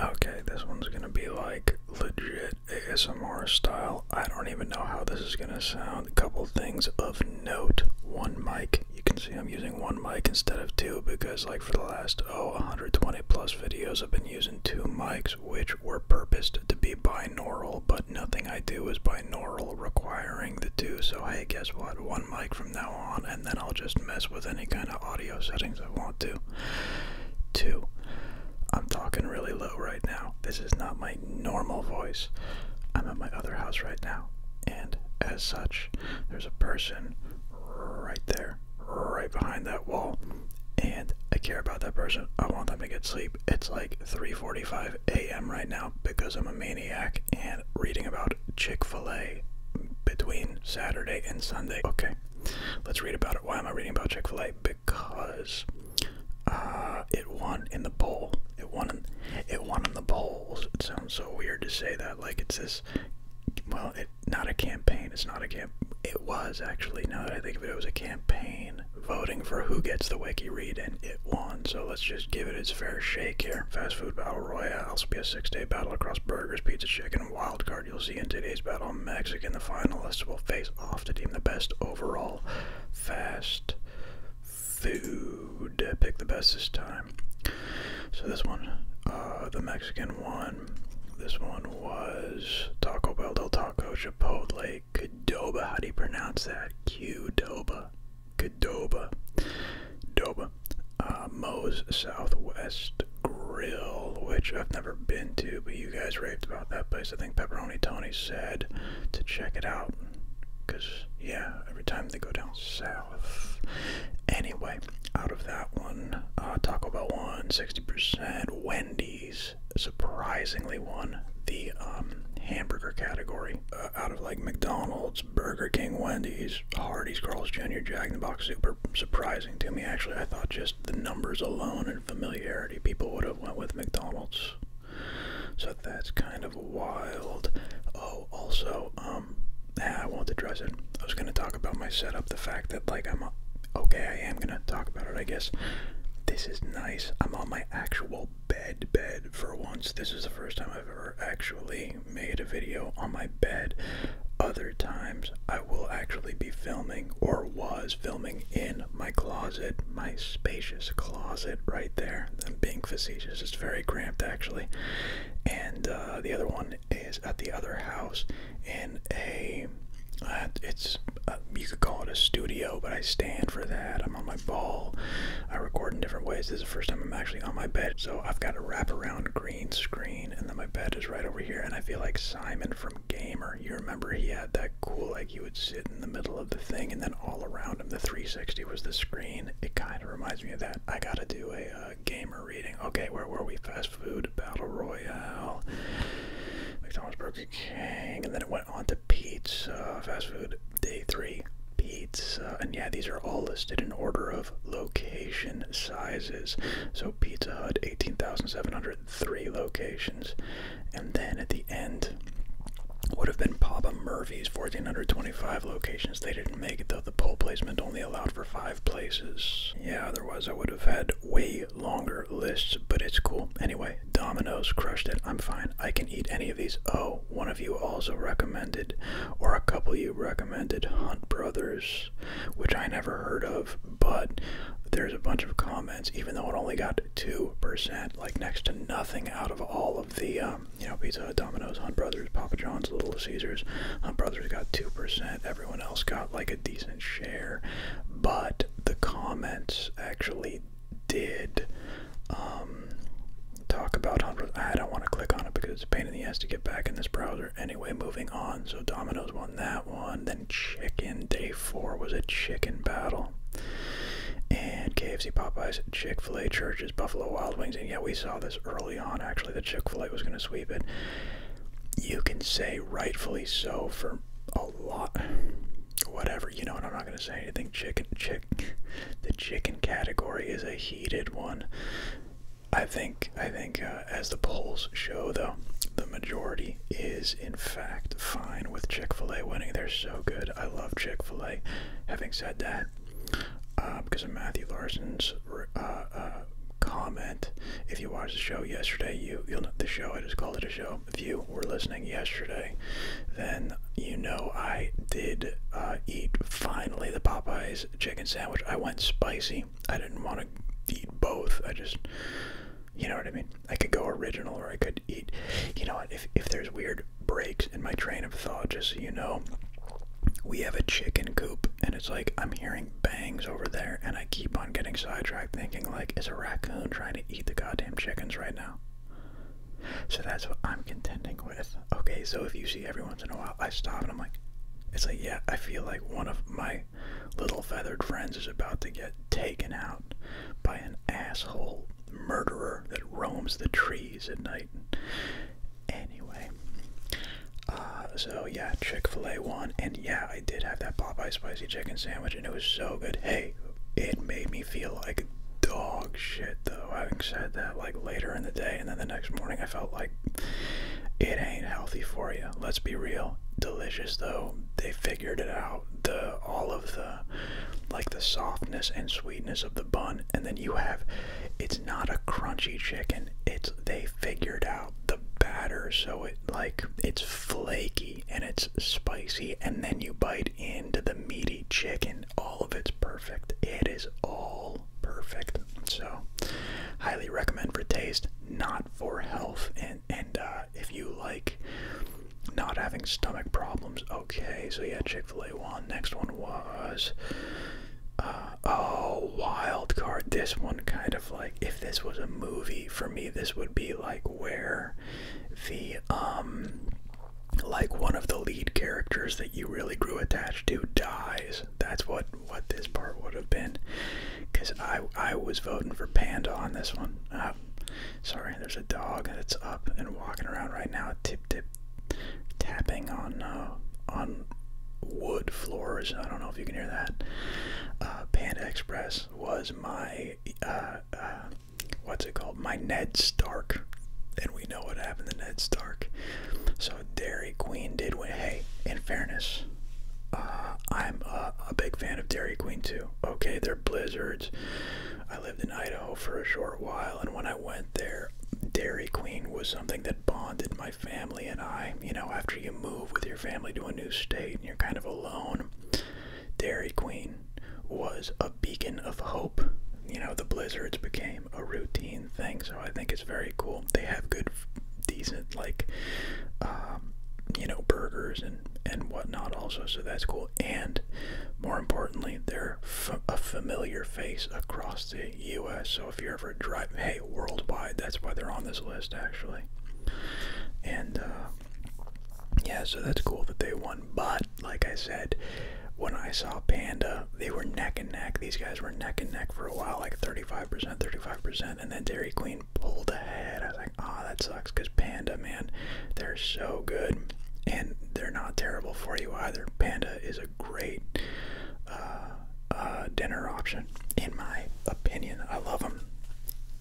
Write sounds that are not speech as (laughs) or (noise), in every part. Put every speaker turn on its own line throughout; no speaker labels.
Okay, this one's gonna be like legit ASMR style. I don't even know how this is gonna sound. A couple things of note. One mic. You can see I'm using one mic instead of two because, like, for the last, oh, 120 plus videos, I've been using two mics, which were purposed to be binaural, but nothing I do is binaural requiring the two. So, hey, guess what? One mic from now on, and then I'll just mess with any kind of audio settings I want to. Two, I'm talking really low right now. This is not my normal voice. I'm at my other house right now. And as such, there's a person right there, right behind that wall. And I care about that person. I want them to get sleep. It's like 3:45 a.m. right now because I'm a maniac and reading about Chick-fil-A between Saturday and Sunday. Okay, Let's read about it. Why am I reading about Chick fil A? Because uh, it won in the bowl. It won in, it won in the bowls. It sounds so weird to say that. Like it's this, well, it not a campaign. It's not a camp. It was actually, now that I think of it, it was a campaign voting for who gets the wiki read, and it won. So let's just give it its fair shake here. Fast food battle royale. This will be a six day battle across burgers, pizza, chicken, and wild you'll see in today's battle. Mexican, the finalists, will face off to deem the best overall fast food. Pick the best this time. So this one, uh, the Mexican one. This one was Taco Bell del Taco Chipotle Qdoba. How do you pronounce that? Qdoba. Qdoba. Doba. Uh, Southwest Grill, which I've never been to, but you guys raved about that place. I think Pepperoni Tony said to check it out because, yeah, every time they go down south. Anyway, out of that one, uh, Taco Bell won 60%. Wendy's surprisingly won the um, hamburger category uh, out of like McDonald's, Burger King, Wendy's, Hardee's, Carl's Jr., Jack in the Box. Super surprising to me, actually. I thought just the numbers alone and familiarity, people would have went with McDonald's. So that's kind of wild. Oh, also, um, ah, I won't address it. I was gonna talk about my setup, the fact that like I'm, okay, I am gonna talk about it, I guess. This is nice. I'm on my actual bed bed for once. This is the first time I've ever actually made a video on my bed. Other times I will actually be filming or was filming in my closet, my spacious closet right there. I'm being facetious, it's very cramped actually. And uh, the other one is at the other house in a. Uh, it's uh, you could call it a studio, but I stand for that. I'm on my ball. I record in different ways. This is the first time I'm actually on my bed, so I've got a wraparound green screen and then my bed is right over here. And I feel like Simon from Gamer. You remember he had that cool, like he would sit in the middle of the thing, and then all around him, the 360 was the screen. It kind of reminds me of that. I gotta do a uh, gamer reading. Okay, where were we? Fast food, battle royale, McDonald's, Burger King, and then it went on to pizza, fast food, day three. Pizza, and yeah, these are all listed in order of location sizes. So Pizza Hut, 18,703 locations. And then at the end, would have been Papa Murphy's 1425 locations. They didn't make it though. The poll placement only allowed for five places. Yeah, otherwise I would have had way longer lists, but it's cool. Anyway, Domino's crushed it. I'm fine. I can eat any of these. Oh, one of you also recommended, or a couple you recommended, Hunt Brothers which I never heard of, but there's a bunch of comments, even though it only got 2%, like next to nothing out of all of the, um, you know, Pizza Hut, Domino's, Hunt Brothers, Papa John's, Little Caesars. Hunt Brothers got 2%. Everyone else got like a decent share, but the comments actually did um, talk about Hunt Brothers. I don't want to click on it because it's a the ass to get back in this browser. Anyway, moving on. So Domino's won that one. Then chicken day four was a chicken battle. And KFC, Popeyes, Chick Fil A, Churches, Buffalo Wild Wings, and yeah, we saw this early on. Actually, the Chick Fil A was going to sweep it. You can say rightfully so for a lot, whatever you know. And I'm not going to say anything. Chicken, chick, the chicken category is a heated one. I think I think uh, as the polls show, though, the majority is in fact fine with Chick-fil-A winning. They're so good. I love Chick-fil-A. Having said that, because um, of Matthew Larson's uh, uh, comment, if you watched the show yesterday, you you'll know the show. I just called it a show. If you were listening yesterday, then you know I did eat finally the Popeyes chicken sandwich. I went spicy. I didn't want to eat both. I just, you know what I mean? I could go original or I could eat. You know If, if there's weird breaks in my train of thought, just so you know, we have a chicken coop and it's like I'm hearing bangs over there and I keep on getting sidetracked thinking like, is a raccoon trying to eat the goddamn chickens right now? So that's what I'm contending with. Okay, so if you see every once in a while, I stop and I'm like, it's like, yeah, I feel like one of my little feathered friends is about to get taken out by an asshole murderer that roams the trees at night. Anyway, uh, so yeah, Chick fil A won, and yeah, I did have that Popeye spicy chicken sandwich, and it was so good. Hey, it made me feel like dog shit, though, having said that, like later in the day, and then the next morning, I felt like it ain't healthy for you. Let's be real delicious though they figured it out the all of the like the softness and sweetness of the bun and then you have it's not a crunchy chicken it's they figured out the batter so it like it's flaky and it's spicy and then you bite into the meaty chicken all of it's perfect it is all perfect so highly recommend for taste not for health and and uh, if you like not having stomach problems, okay. So yeah, Chick Fil A one. Next one was uh, oh, Wild Card. This one kind of like if this was a movie for me, this would be like where
the um like one of the lead characters that you
really grew attached to dies. That's what what this part would have been because I, I was voting for Panda on this one. Uh, sorry, there's a dog that's up and walking around right now, tip tip, tapping on, uh, on wood floors. I don't know if you can hear that. Uh, Panda Express was my, what's it called? My Ned Stark. And we know what happened to Ned Stark. So Dairy Queen did win. Hey, in fairness, I'm a big fan of Dairy Queen too. Okay, they're blizzards. I lived in Idaho for a short while, and when I went there, Dairy Queen was something that bonded my family and I. You know, after you move with your family to a new state and you're kind of alone, Dairy Queen was a beacon of hope. You know, the blizzards became a routine thing, so I think it's very cool. They have good decent like um, you know burgers and and whatnot also so that's cool and more importantly they're a familiar face across the us so if you're ever driving hey worldwide that's why they're on this list actually and uh, yeah so that's cool that they won but like i said when i saw panda they were neck and neck these guys were neck and neck for a while like 35% 35% and then dairy queen pulled ahead. I was like, ah, that sucks because Panda, man, they're so good and they're not terrible for you either. Panda is a great uh, uh, dinner option, in my opinion. I love them.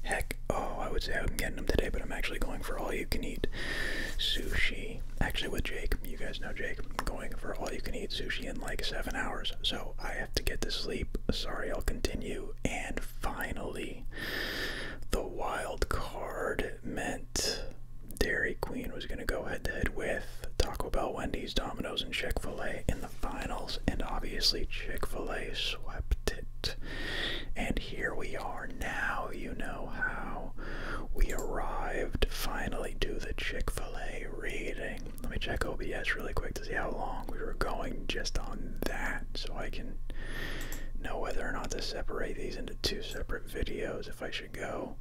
Heck, oh, I would say I'm getting them today, but I'm actually going for all you can eat sushi. Actually, with Jake, you guys know Jake, I'm going for all you can eat sushi in like seven hours, so I have to get to sleep. Sorry, I'll continue and finally, the wild card meant Dairy Queen was going to go head to head with Taco Bell, Wendy's, Domino's, and Chick fil A in the finals. And obviously, Chick fil A swept it. And here we are now. You know how we arrived finally to the Chick fil A reading. Let me check OBS really quick to see how long we were going just on that so I can know whether or not to separate these into two separate videos if I should go.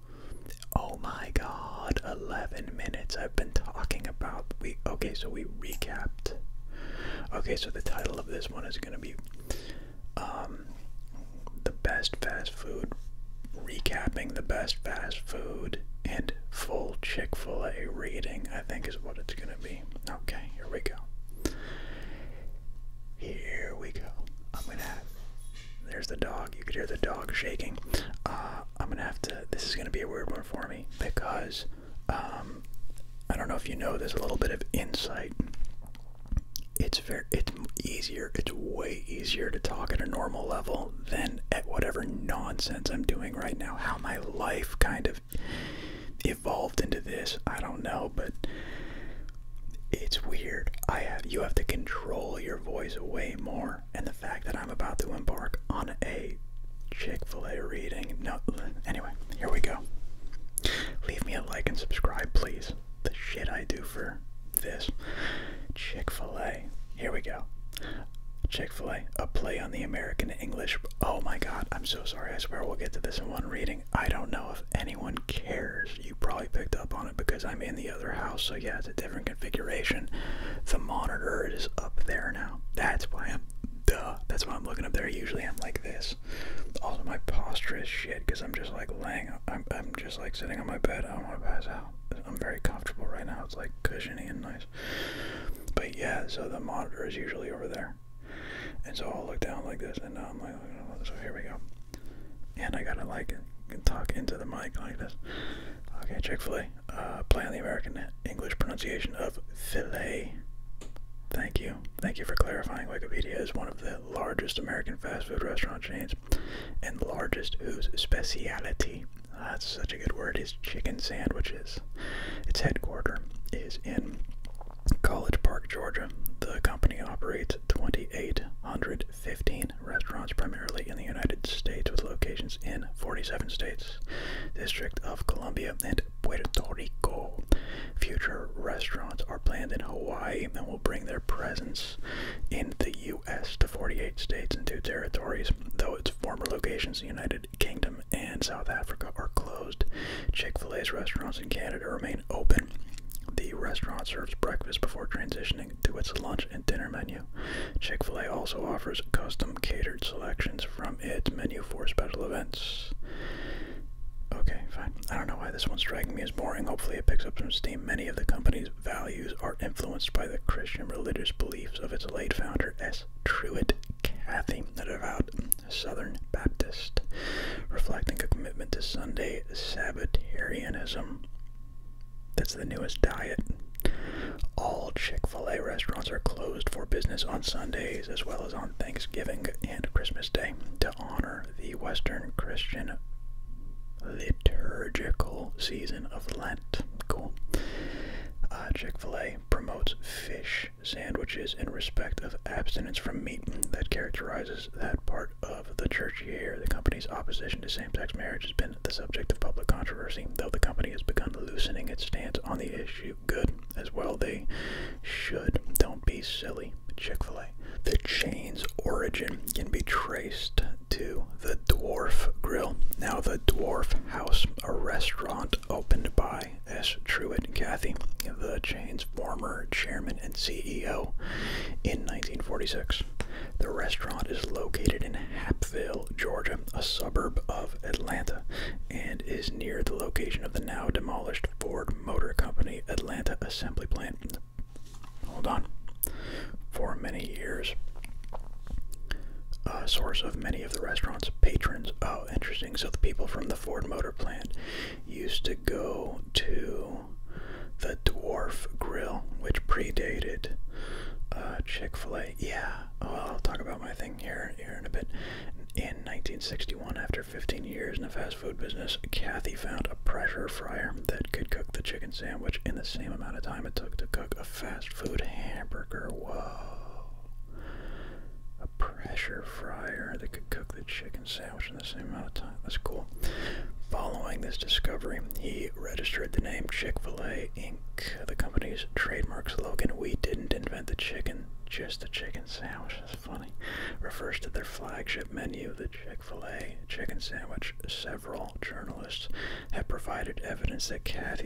Oh my god, 11 minutes I've been talking about. We okay, so we recapped. Okay, so the title of this one is going to be um the best fast food recapping the best fast food and full Chick-fil-A reading. I think is what it's gonna be. Okay, here we go. Here we go. I'm gonna there's the dog. You could hear the dog shaking. Uh, I'm gonna have to. This is gonna be a weird one for me because um, I don't know if you know. There's a little bit of insight. It's very. It's easier. It's way easier to talk at a normal level than at whatever nonsense I'm doing right now. How my life kind of evolved into this. I don't know, but it's
weird. I have you have to control your voice way more, and the fact that I'm about to embark on a Chick-fil-A
reading. No, anyway, here we go. Leave me a like and subscribe, please. The shit I do for this Chick-fil-A. Here we go. Chick a play on the American English. Oh my god, I'm so sorry. I swear we'll get to this in one reading. I don't know if anyone cares. You probably picked up on it because I'm in the other house, so yeah, it's a different configuration. The monitor is up there now. That's why I'm duh. That's why I'm looking up there. Usually I'm like this. Also my posture shit because I'm just like laying I'm I'm just like sitting on my bed. I want to pass out. I'm very comfortable right now. It's like cushiony and nice. But yeah, so the monitor is usually over there. And so I'll look down like this, and I'm like, oh, so here we go. And I gotta like talk into the mic like this. Okay, Chick fil A. Uh, play on the American English pronunciation of filet. Thank you. Thank you for clarifying. Wikipedia is one of the largest American fast food restaurant chains and largest whose specialty that's such a good word. Is chicken sandwiches. Its headquarters is in College Park, Georgia. The company operates 2,815 restaurants, primarily in the United States, with locations in 47 states, District of Columbia, and Puerto Rico. Future restaurants are planned in Hawaii and will bring their presence in the U.S. to 48 states and two territories, though its former locations the United Kingdom and South Africa are closed. Chick fil A's restaurants in Canada remain open. The restaurant serves breakfast before transitioning to its lunch and dinner menu. Chick fil A also offers custom catered selections from its menu for special events. Okay, fine. I don't know why this one's striking me as boring. Hopefully, it picks up some steam. Many of the company's values are influenced by the Christian religious beliefs of its late founder, S. Truett Kathy, the devout Southern Baptist, reflecting a commitment to Sunday Sabbatarianism. That's the newest diet. All Chick fil A restaurants are closed for business on Sundays as well as on Thanksgiving and Christmas Day to honor the Western Christian liturgical season of Lent. Cool. Uh, Chick fil A promotes fish sandwiches in respect of abstinence from meat that characterizes that part of the church here. The company's opposition to same-sex marriage has been the subject of public controversy, though the company has begun loosening its stance on the issue. Good as well they should. Don't be silly. Chick-fil-A. The chain's origin can be traced
to the Dwarf Grill, now the Dwarf House, a restaurant opened by S. Truett Cathy, the chain's former chairman and CEO, in 1946.
The restaurant is located in Hapville, Georgia, a suburb of Atlanta, and is near the location of the now demolished Ford Motor Company Atlanta assembly plant. Hold on. For many years, a source of many of the restaurant's patrons' uh, interesting. So the people from the Ford Motor Plant used to go to the Dwarf Grill, which predated uh, Chick fil A. Yeah,
well, I'll talk about my thing here, here in a bit. In 1961, after 15 years
in the fast food business, Kathy found a pressure fryer that could cook the chicken sandwich in the same amount of time it took to cook a fast food hamburger. Whoa. A pressure fryer that could cook the chicken sandwich in the same amount of time. That's cool. Following this discovery, he registered the name Chick fil A Inc., the company's trademark slogan, We didn't invent the chicken, just the chicken sandwich. funny. Refers to their flagship menu, the Chick fil A chicken sandwich. Several journalists have provided evidence that Cat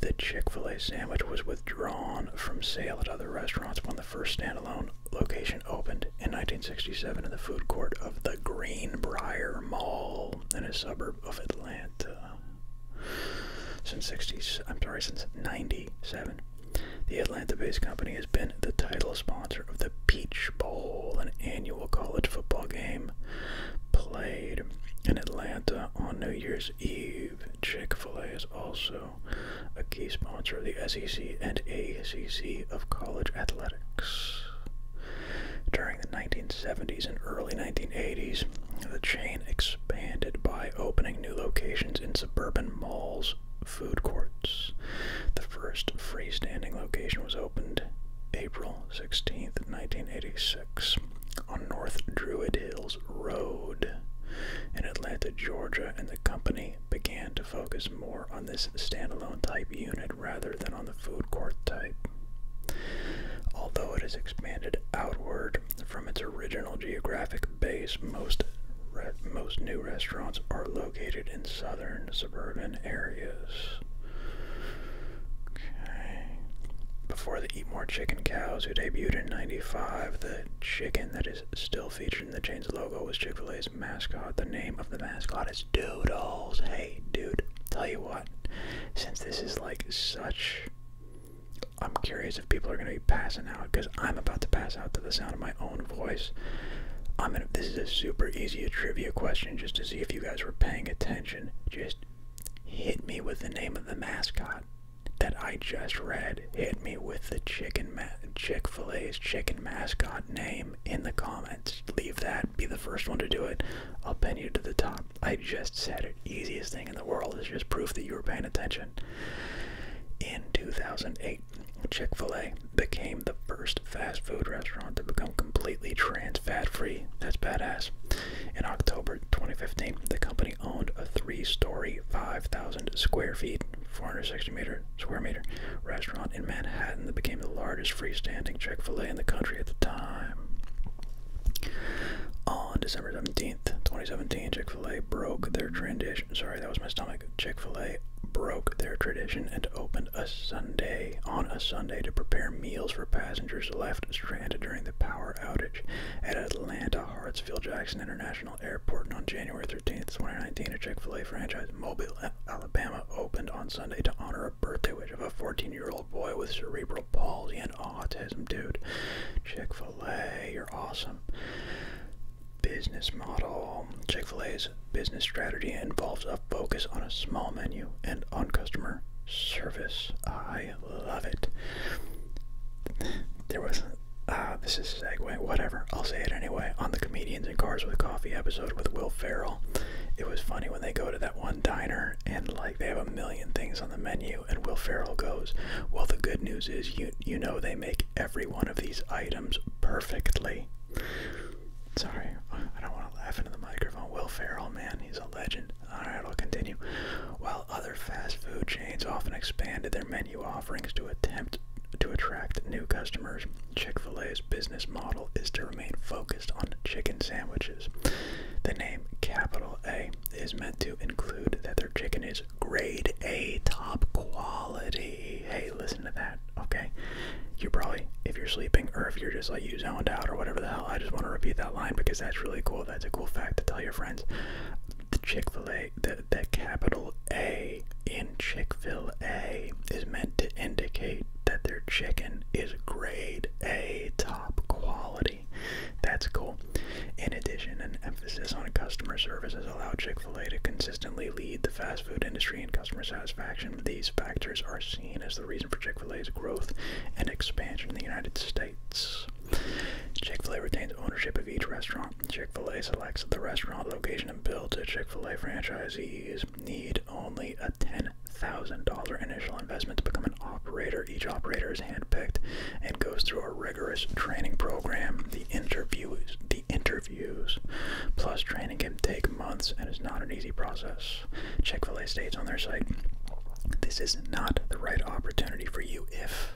the Chick fil A sandwich was withdrawn from sale at other restaurants when the first standalone location opened in 1967 in the food court of the Greenbrier Mall in a suburb of Atlanta. Since 60, I'm sorry, since 97, the Atlanta-based company has been the title sponsor of the Peach Bowl, an annual college football game played in Atlanta on New Year's Eve. Chick fil A is also a key sponsor of the SEC and ACC of college athletics.
During the 1970s and early 1980s, the chain expanded by opening new locations
in suburban malls, food courts. The first freestanding location was opened April 16, 1986 on North Druid Hills Road in Atlanta, Georgia, and the company began to focus more on this standalone type unit rather than on the food court type. Although it has expanded outward from its original geographic base, most most new restaurants are located in southern suburban areas. Okay.
Before the Eat More Chicken Cows, who debuted in 95, the chicken that is still
featured in the chain's logo was Chick fil A's mascot. The name of the mascot is Doodles. Hey, dude, tell you what, since this is like such. I'm curious if people are going to be passing out because I'm about to pass out to the sound of my own voice. I'm gonna. This is a super easy trivia question just to see if you guys were paying attention. Just Hit me with the name of the mascot that I just read. Hit me with the Chick-fil-A's chicken mascot name in the comments. Leave that. Be the first one to do it. I'll pin you to the top. I just said it. Easiest thing in the world is just proof that you were paying attention. In 2008, Chick-fil-A became the first fast food restaurant to become completely trans that's fat free. That's badass. In October 2015, the company owned a three-story, 5,000 square feet, 460 meter square meter restaurant in Manhattan that became the largest freestanding Chick-fil-A in the country at the time. On December 17th, 2017, Chick-fil-A broke their tradition. Sorry, that was my stomach. Chick-fil-A broke their tradition and opened a Sunday on a Sunday to prepare meals for passengers left stranded during the power outage at Atlanta Hartsfield Jackson International Airport on January 13th, 2019. A Chick fil A franchise in Mobile, Alabama opened on Sunday to honor a birthday wish of a 14 year old boy with cerebral palsy and autism. Dude, Chick fil A, you're awesome business model. Chick fil A's business strategy involves a focus on a small menu and on customer service. I love it. There was, ah, this is a segue, whatever. I'll say it anyway. On the Comedians in Cars with Coffee episode with Will Ferrell, it was funny when they go to that one diner and like they have a million things on the menu, and Will Ferrell goes, "Well, the good news is
you you know they make every one of these items perfectly."
Sorry, I don't want to laugh into the microphone. Will Ferrell, man, he's a legend. Alright, I'll continue. While other fast food chains often expanded their menu offerings to attempt to attract new customers, Chick-fil-A's business model is to remain focused on chicken sandwiches. The name capital A is meant to include that their chicken is grade A top quality. Hey, listen to that, okay? You are probably, if you're sleeping or if you're just like, you zoned out or whatever the hell. I just want to repeat that line because that's really cool. That's a cool fact to tell your friends. The Chick fil A, the, the capital A in Chick fil A is meant to indicate that their chicken is grade A top quality. That's cool. In addition, an emphasis on customer service has allowed Chick fil A to consistently lead the fast food industry in customer satisfaction. These factors are seen as the reason for Chick fil A's growth and expansion in the United States. Chick fil A retains ownership of each restaurant. Chick fil A selects the restaurant location and builds to Chick fil A franchisees. Need only a $10,000 initial investment to become an operator. Each operator is handpicked and goes through a rigorous training program. The interviews, the interviews plus training can take months and is not an easy process. Chick fil A states on their site this is not the right opportunity for you if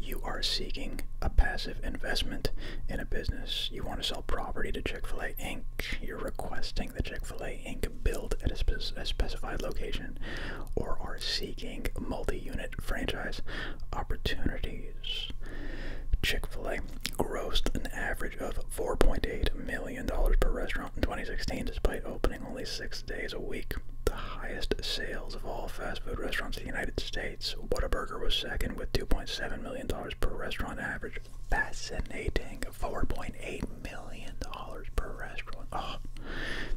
you are seeking a passive investment in a business. You want to sell property to Chick fil A Inc., you're requesting the Chick fil A Inc. build at a, specified location, or are seeking multi unit franchise opportunities. Chick fil A grossed an average of $4.8 million per restaurant in 2016 despite opening only six days a week. The highest sales of all fast food restaurants in the United States. Whataburger was second with $2.7 million per restaurant average. Fascinating. $4.8 million per restaurant. Oh,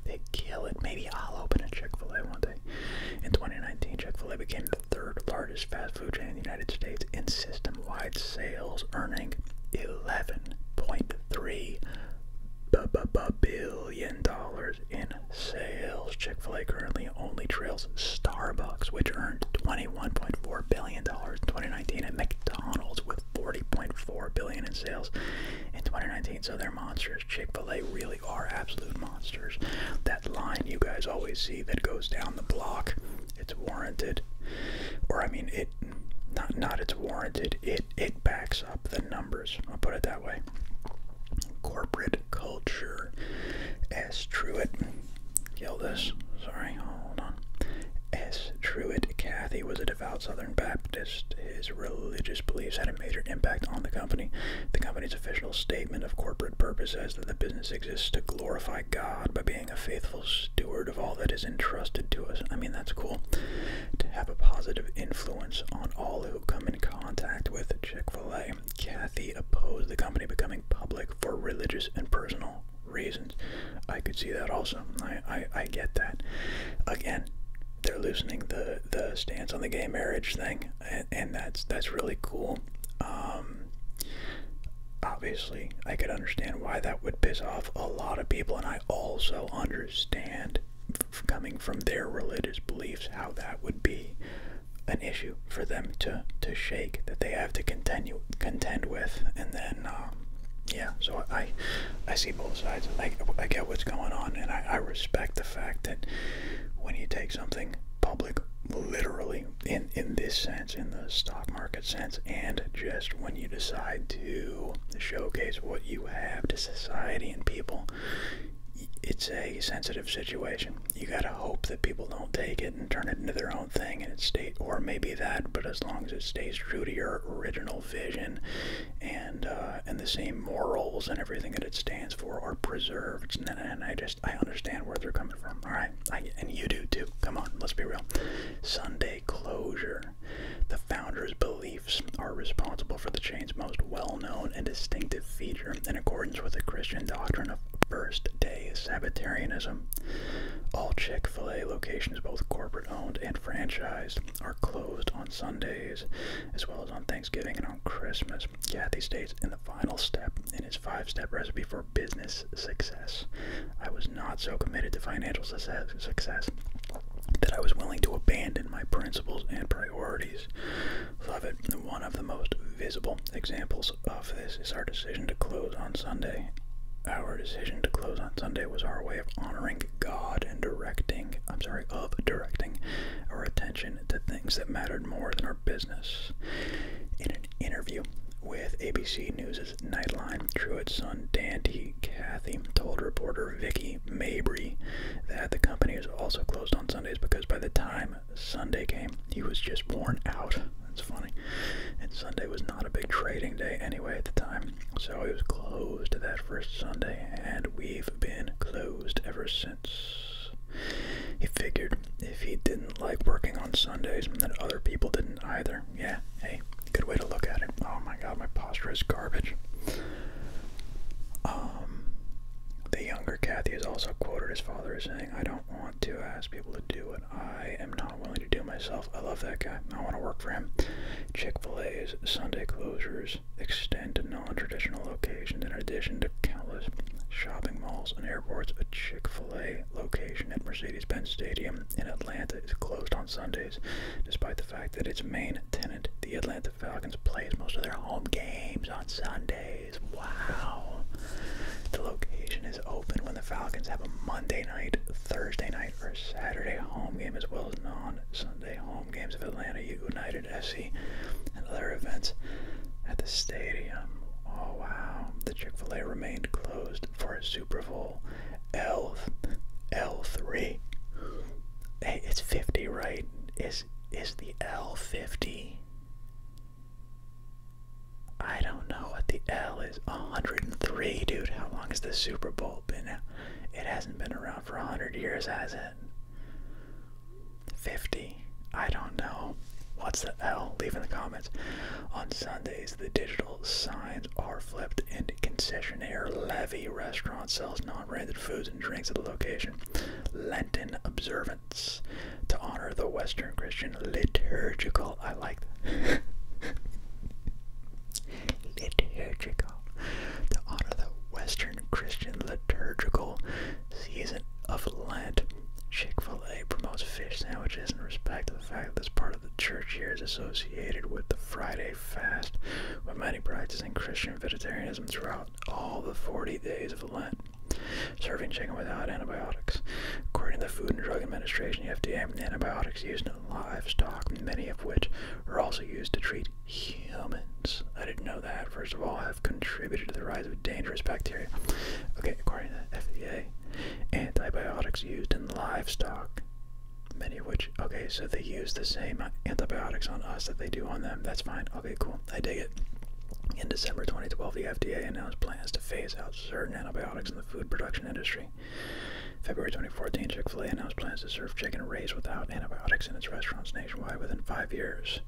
they kill it. Maybe I'll open a Chick fil A one day. In 2019, Chick fil A became the third largest fast food chain in the United States in system wide sales, earning 11 three b -b billion dollars in sales. Chick-fil-A currently only trails Starbucks, which earned 21.4 billion dollars in 2019, and McDonald's with 40.4 billion in sales in 2019. So they're monsters. Chick-fil-A really are absolute monsters. That line you guys always see that goes down the block, it's warranted. Or I mean, it not not it's warranted it it backs up the numbers i'll put it that way corporate culture s truitt kill this sorry hold on s truitt cathy was a devout southern baptist his religious beliefs had a major impact on the company the company's official statement of corporate purpose says that the business exists to glorify god by being a faithful steward of all that is entrusted to us i mean that's cool to have a positive influence on all who come in contact with Chick fil A. Kathy opposed the company becoming public for religious and personal reasons. I could see that also. I, I, get that. Again, they're loosening the, the stance on the gay marriage thing, and, that's that's really cool. Um, obviously, I could understand why that would piss off a lot of people, and I also understand, coming from their religious beliefs, how that would be an issue for them to to shake that they have to continue contend with, and then um,
yeah. So I I see both sides. I I get what's going on, and I, I respect the fact that when you take something public,
literally in in this sense, in the stock market market sense and just when you decide to showcase what you have to society and people it's a sensitive situation you got to hope that people don't take it and turn it into their own thing and it stay or maybe that but as long as it stays true to your original vision and uh, and the same morals and everything that it stands for are preserved and, and i just i understand where they're coming from all right I, and you do too come on let's be real sunday closure. The founder's beliefs are responsible for the chain's most well known and distinctive feature in accordance with the Christian doctrine of first day Sabbatarianism. All Chick fil A locations, both corporate owned and franchised, are closed on Sundays, as well as on Thanksgiving and on Christmas. Kathy states in the final step in his five step recipe for business success I was not so committed to financial success that I was willing to abandon my principles and priorities. Love it. One of the most visible examples of this is our decision to close on Sunday. Our decision to close on Sunday was our way of honoring God and directing, I'm sorry, of directing our attention to things that mattered more than our business. In an interview with ABC News' Texas, Nightline, Truett's son Dandy Cathy told reporter Vicky Mabry that the company is also closed on Sundays because by the time Sunday came, he was just worn out. That's funny. And Sunday was not a big trading day anyway at the time, so it was closed that first Sunday, and we've been closed ever since. He figured if he didn't like working on Sundays and other people didn't either. Yeah, hey, good way to look at it. Oh my god, my posture is garbage. Um, the younger Kathy is also quoted as father saying, I don't want to ask people to do what I am not willing to do myself. I love that guy. I want to work for him. Chick-fil-A's Sunday closures extend to non-traditional locations in addition to countless shopping malls and airports. A Chick-fil-A location at Mercedes-Benz Stadium in Atlanta is closed on Sundays despite the the fact that its main tenant, the Atlanta Falcons, plays most of their home games on Sundays. Wow. The location is open when the Falcons have a Monday night, Thursday night, or Saturday home game, as well as non Sunday home games of Atlanta United FC and other events at the stadium. Oh wow. The Chick fil A remained closed for a Super Bowl. L L three. it's fifty, right? Is is the L fifty?
I don't know what the L is. 103, dude. How long has the Super Bowl been? It hasn't been around for 100 years, has it? 50. I don't know. What's the L? Leave in the comments. On Sundays, the
digital signs are flipped and concessionaire levy restaurant sells non-branded foods and drinks at the location. Lenten observance to honor the Western Christian liturgical. I like that. (laughs) liturgical to honor the Western Christian liturgical season of Lent. Chick-fil-A promotes fish sandwiches in respect to the fact that this part of the church here is associated with the Friday fast, with many practices in Christian vegetarianism throughout all the 40 days of Lent, serving chicken without antibiotics. According to the Food and Drug Administration, FDA, antibiotics used
in livestock, many of which are also used to treat humans. I didn't
know that, first of all, have contributed to the rise of dangerous bacteria. Okay, according to the FDA, antibiotics used in livestock many of which okay so they use the same antibiotics on us that they do on them that's fine okay cool i dig it in december 2012 the fda announced plans to phase out certain antibiotics in the food production industry february 2014 chick-fil-a announced plans to serve chicken raised without antibiotics in its restaurants nationwide within five years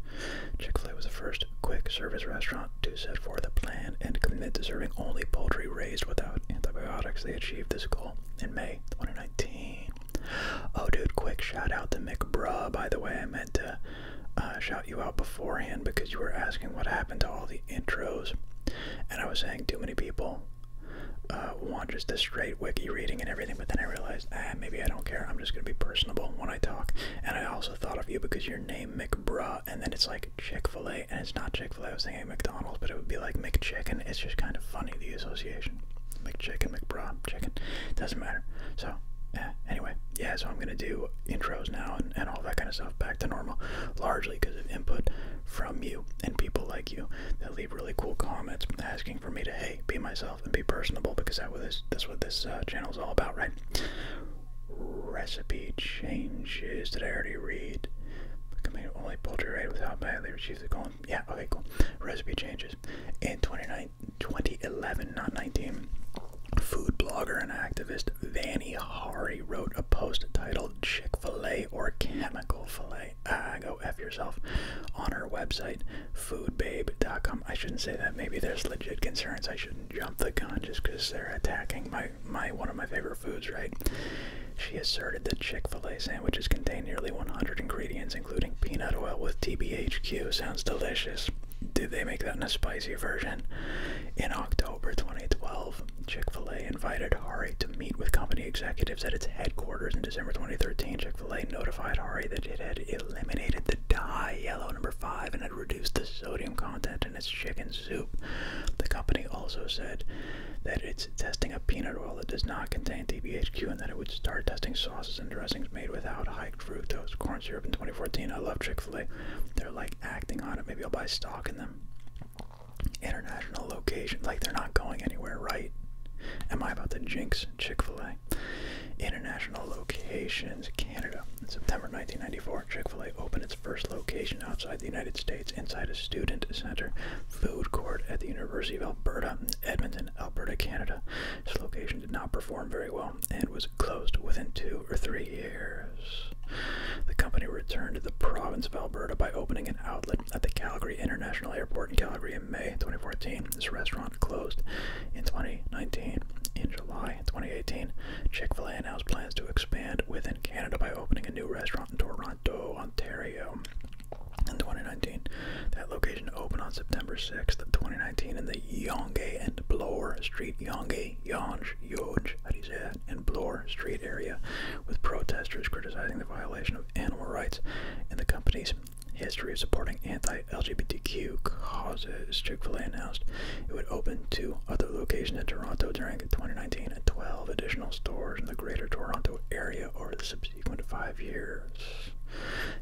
chick-fil-a was the first quick service restaurant to set forth a plan and commit to serving only poultry raised without antibiotics they achieved this
goal in may Oh, dude, quick shout out to Mick By the
way, I meant to uh, shout you out beforehand because you were asking what happened to all the intros. And I was saying too many people uh, want just a straight wiki reading and everything, but then I realized, ah, maybe I don't care. I'm just going to be personable when I talk. And I also thought of you because your name, Mick and then it's like Chick fil A, and it's not Chick fil A. McDonald's, but it would be like McChicken. It's just kind of funny the association. McChicken, McBra, chicken. Doesn't matter. So, yeah. Anyway, yeah. So I'm gonna do intros now and, and all that kind of stuff back to normal, largely because of input from you and people like you that leave really cool comments asking for me to hey be myself and be personable because that what this that's what this uh, channel is all about, right? Recipe changes. Did I already read? Committee only poultry raid without badly received the call um, yeah, okay, cool. Recipe changes. In 29, 2011, not 19, food blogger and activist Vani Hari wrote a post titled Chick fil A or Chemical Filet. Ah, go F yourself. On her website, foodbabe.com. I shouldn't say that. Maybe there's legit concerns. I shouldn't jump the gun just because they're attacking my, my one of my favorite Foods, right? She asserted that Chick fil A sandwiches contain nearly 100 ingredients, including peanut oil with TBHQ. Sounds delicious. Did they make that in a spicy version? In October 2012, Chick fil A invited Hari to meet with company executives at its headquarters in December 2013. Chick fil A notified Hari that it had eliminated the dye, yellow number 5, and had reduced the sodium content in its chicken soup. The company also said that it testing a peanut oil that does not contain TBHQ and that it would start testing sauces and dressings made without high fructose corn syrup in 2014. I love Chick-fil-A. They're like acting on it. Maybe I'll buy stock in them. International locations, Like they're not going anywhere, right? Am I about to jinx Chick-fil-A? International locations. Canada. In September 1994, Chick-fil-A opened its first location outside the United States inside a student center food court at the University of Alberta, Edmonton, Alberta, Canada. This location did not perform very well and was closed within two or three years. The company returned to the province of Alberta by opening an outlet at the Calgary International Airport in Calgary in May 2014. This restaurant closed in 2019. In July 2018, Chick fil A announced plans to expand within Canada by opening a new restaurant in Toronto, Ontario in 2019. That location opened on September 6th, 2019, in the Yonge and Bloor Street, Yonge, Yonge, Yonge, how do you say that, and Bloor Street area, with protesters criticizing the violation of animal rights and the company's history of supporting anti-LGBTQ causes. Chick-fil-A announced it would open two other locations in Toronto during 2019 and 12 additional stores in the Greater Toronto area over the subsequent five years.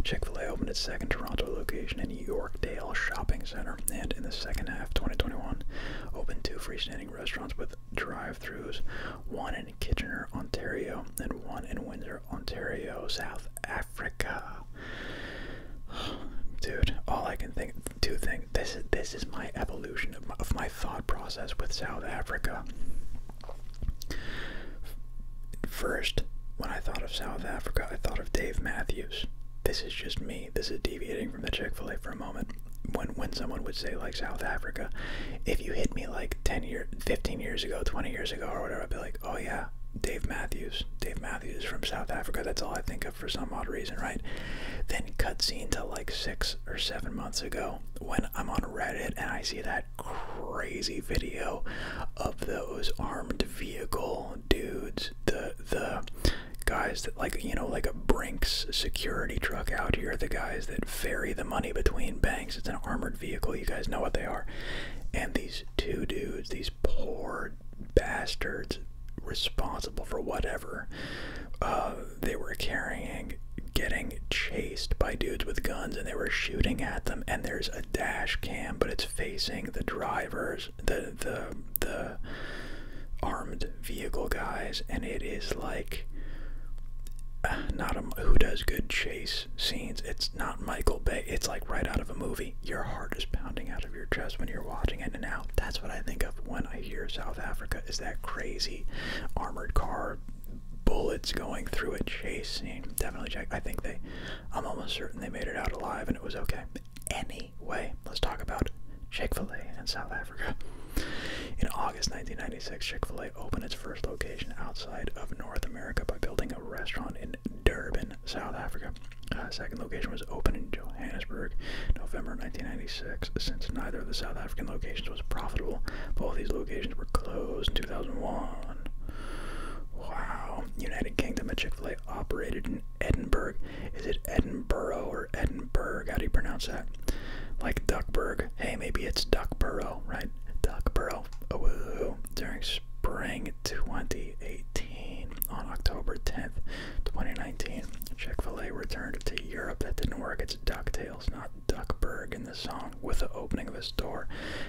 Chick fil A opened its second Toronto location in Yorkdale Shopping Center, and in the second half of 2021, opened two freestanding restaurants with drive throughs one in Kitchener, Ontario, and one in Windsor, Ontario, South Africa. (sighs) Dude, all I can think, two things. This is this is my evolution of of my thought process with South Africa. First, when I thought of South Africa, I thought of Dave Matthews. This is just me. This is deviating from the Chick-fil-A for a moment. When when someone would say like South Africa, if you hit me like 10 years, 15 years ago, 20 years ago or whatever, I'd be like, oh yeah, Dave Matthews. Dave Matthews is from South Africa. That's all I think of for some odd reason, right? Then cut scene to like six or seven months ago when I'm on Reddit and I see that crazy video of those armed vehicle dudes, the the guys that like you know like a Brinks security truck out here, the guys that ferry the money between banks. It's an armored vehicle. You guys know what they are. And these two dudes, these poor bastards responsible for whatever uh, they were carrying getting chased by dudes with guns and they were shooting at them and there's a dash cam but it's facing the drivers the the the armed vehicle guys and it is like (sighs) not a who does good chase scenes it's not michael bay it's like right out of a movie your heart is pounding out of your chest when you're watching it and now that's what i think of when i hear south africa is that crazy armored car bullets going through a chase scene. Definitely I think they, I'm almost certain they made it out alive and it was okay. Anyway, let's talk about Chick fil A in South Africa. In August 1996, Chick fil A opened its first location outside of North America by building a restaurant in Durban, South Africa. Uh, second location was opened in Johannesburg, November 1996. Since neither of the South African locations business was profitable. Both these locations were closed in 2001.
Wow. United Kingdom, a Chick-fil-A operated in Edinburgh. Is it Edinburgh
or Edinburgh? How do you pronounce that? Like Duckburg. Hey, maybe it's Duckborough, right? Duckborough. Oh, during spring 2018 on October 10th, 2019, Chick-fil-A returned to Europe. That didn't work. It's Ducktails, not Duckburg in the song with the opening of a store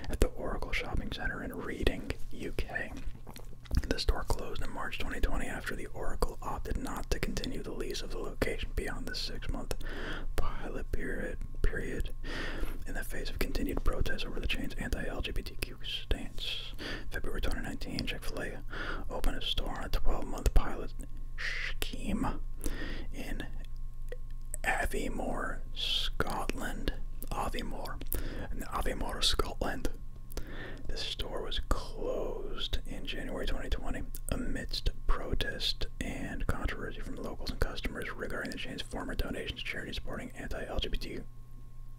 at the Oracle Shopping Centre in Reading, UK. The store closed in March 2020 after the Oracle opted not to continue the lease of the location beyond the six-month pilot period, period in the face of continued protests over the chain's anti-LGBTQ stance. February 2019, Chick-fil-A opened a store on a 12-month pilot scheme in Aviemore, Scotland. Aviemore. Aviemore, Scotland. The store was closed in January 2020 amidst protest and controversy from locals and customers regarding the chain's former donations to charities supporting anti-LGBT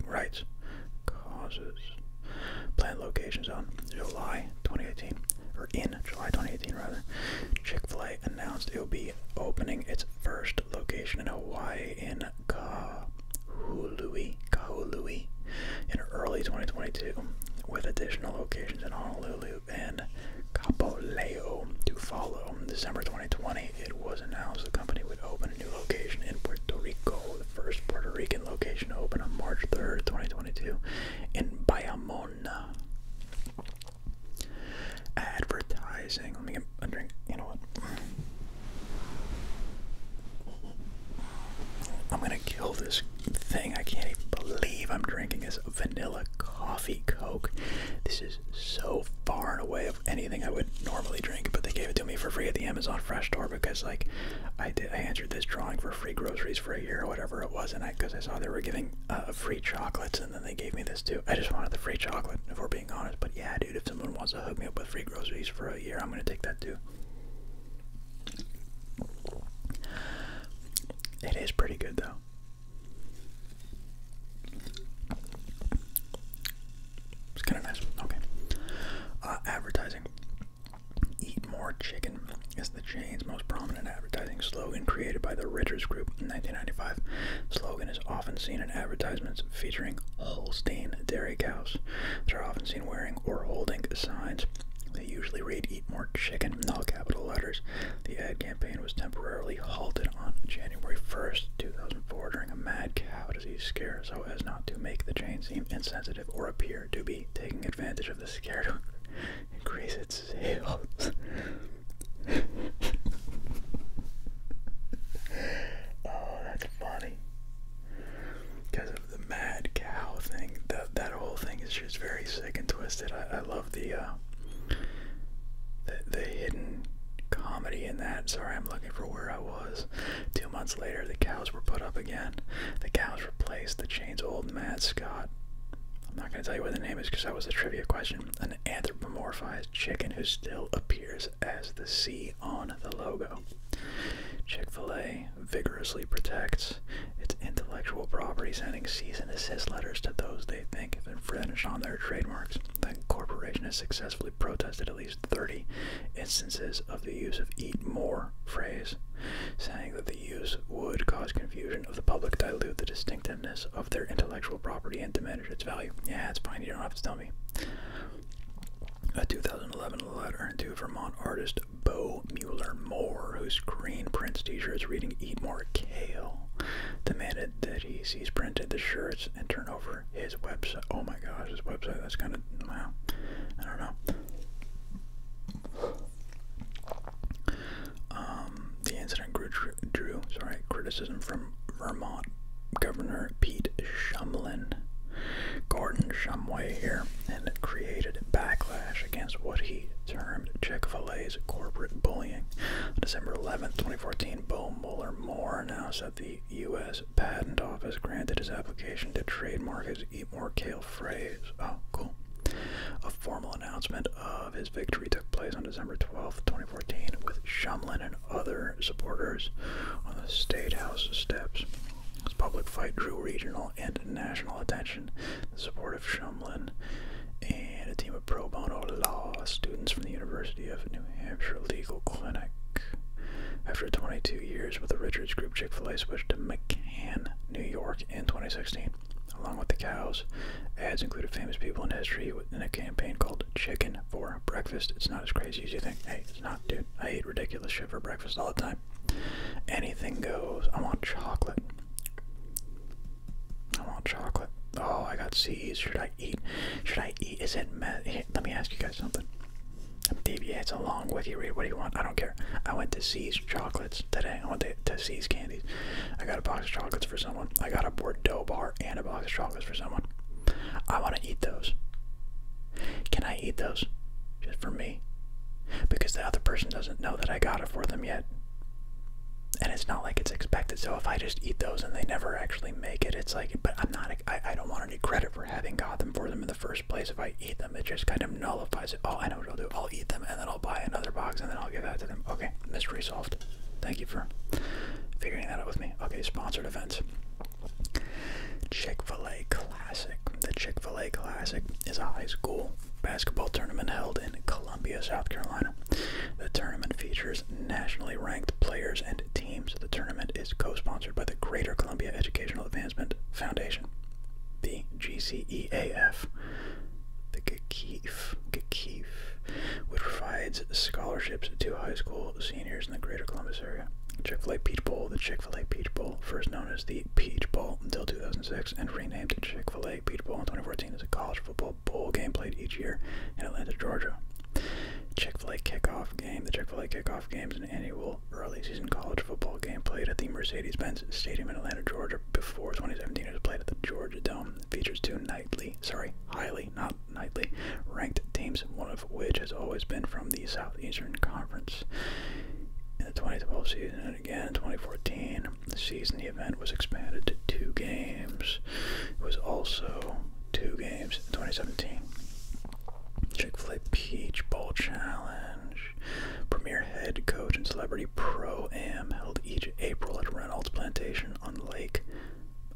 rights causes. Plant locations on July 2018 in July 2018 rather, Chick-fil-A announced it would be opening its first location in Hawaii in Kahului, Kahului in early 2022, with additional locations in Honolulu and Kapoleo to follow. In December 2020, it was announced the company would open a new location in Puerto Rico. The first Puerto Rican location open on March 3rd, 2022, in Bayamón. Advertising. Let me get a drink. You know what? I'm gonna kill this thing. I can't even believe I'm drinking this vanilla coffee coke. This is so far and away of anything I would normally drink, but they gave it to me for free at the Amazon Fresh store because, like, I did. I answered this drawing for free groceries for a year or whatever it was, and I because I saw they were giving uh, free chocolates, and then they gave me this too. I just wanted the free chocolate, if we're being honest. But yeah, dude, if someone wants to hook me up with free groceries for a year, I'm gonna take that too. It is pretty good though. It's kind of nice. Okay. Uh, advertising. Eat more chicken mistaken, the chain's most prominent advertising slogan created by the Richards Group in 1995. The slogan is often seen in advertisements featuring Holstein dairy cows. They're often seen wearing or holding signs. that usually read "Eat more chicken" in all capital letters. The ad campaign was temporarily halted on January 1st, 2004, during a mad cow disease scare, so as not to make the chain seem insensitive or appear to be taking advantage of the scare to increase its (laughs) oh, that's funny. Because of the mad cow thing, that that whole thing is just very sick and twisted. I, love the, uh, the the hidden comedy in that. Sorry, I'm looking for where I was. Two months later, the cows were put up again. The cows replaced the chain's old Mad Scott I'm not going to tell you what the name is because that was a trivia question. An anthropomorphized chicken who still appears as the C on the logo. Chick fil A vigorously protects its intellectual property, sending cease and desist letters to those they think have infringed on their trademarks. The corporation has successfully protested at least 30 instances of the use of eat more phrase, saying that the use would cause confusion of the public, dilute the distinctiveness of their intellectual property, and diminish its value. Yeah, it's fine. You don't have to tell me. A 2011 letter to Vermont artist Bo Mueller Moore, whose green prints t-shirts reading "Eat More Kale," demanded that he cease printed the shirts and turn over his website. Oh my gosh, his website. That's kind of wow. I don't know. Um, the incident grew, drew sorry, criticism from Vermont Governor Pete Shumlin, Gordon Shumway here, and it created backlash against what he termed Chick-fil-A's corporate bullying. December eleventh, 2014, Bo Mueller Moore announced that the U.S. Patent Office granted his application to trademark his Eat More Kale phrase. Oh, cool. A formal announcement of of his victory took place on December 12, 2014, with Shumlin and other supporters on the State House steps. His public fight drew regional and national attention. The support of Shumlin and a team of pro bono law students from the University of New Hampshire Legal Clinic. After 22 years with the Richards Group, Chick fil A switched to McCann, New York in 2016. Along with the cows, ads included famous people in history within a campaign called Chicken for Breakfast. It's not as crazy as you think. Hey, it's not, dude. I eat ridiculous shit for breakfast all the time. Anything goes. I want chocolate. I want chocolate. Oh, I got seeds. Should I eat? Should I eat? Is it let me ask you guys something. Davey, it's a long wiki read. What do you want? I don't care. I want to C's chocolates today. I want to, to seize candies. I got a box of chocolates for someone. I got a Bordeaux bar and a box of chocolates for someone. I want to eat those. Can I eat those? Just for me? Because the other person doesn't know that I got it for them yet. And it's not like it's expected. So if I just eat those and they never actually make it, it's like, but I'm not, I, I don't want any credit for having got them for them in the first place. If I eat them, it just kind of nullifies it. Oh, I know what I'll do. I'll eat them and then I'll buy another box and then I'll give that to them. Okay, mystery solved. Thank you for figuring that out with me. Okay, sponsored events. Chick fil A Classic. The Chick fil A Classic is a high school basketball tournament held in Columbia, South Carolina. The tournament features nationally ranked players and teams. The tournament is co sponsored by the Greater Columbia Educational Advancement Foundation, the GCEAF the Gakif, Gakif, which provides scholarships to high school seniors in the greater Columbus area. Chick-fil-A Peach Bowl, the Chick-fil-A Peach Bowl, first known as the Peach Bowl until 2006 and renamed Chick-fil-A Peach Bowl in 2014 is a college football bowl game played each year in Atlanta, Georgia. Chick-fil-A Kickoff Game, the Chick-fil-A Kickoff Game is an annual early season college football game played at the Mercedes-Benz Stadium in Atlanta, Georgia before 2017 it was played at the Georgia Dome features two nightly, sorry, highly, not nightly, ranked teams, one of which has always been from the Southeastern Conference. In the 2012 season and again 2014 season, the event was expanded to two games. It was also two games in 2017. Chick-fil-A Peach Bowl Challenge. Premier head coach and celebrity pro am held each April at Reynolds Plantation on Lake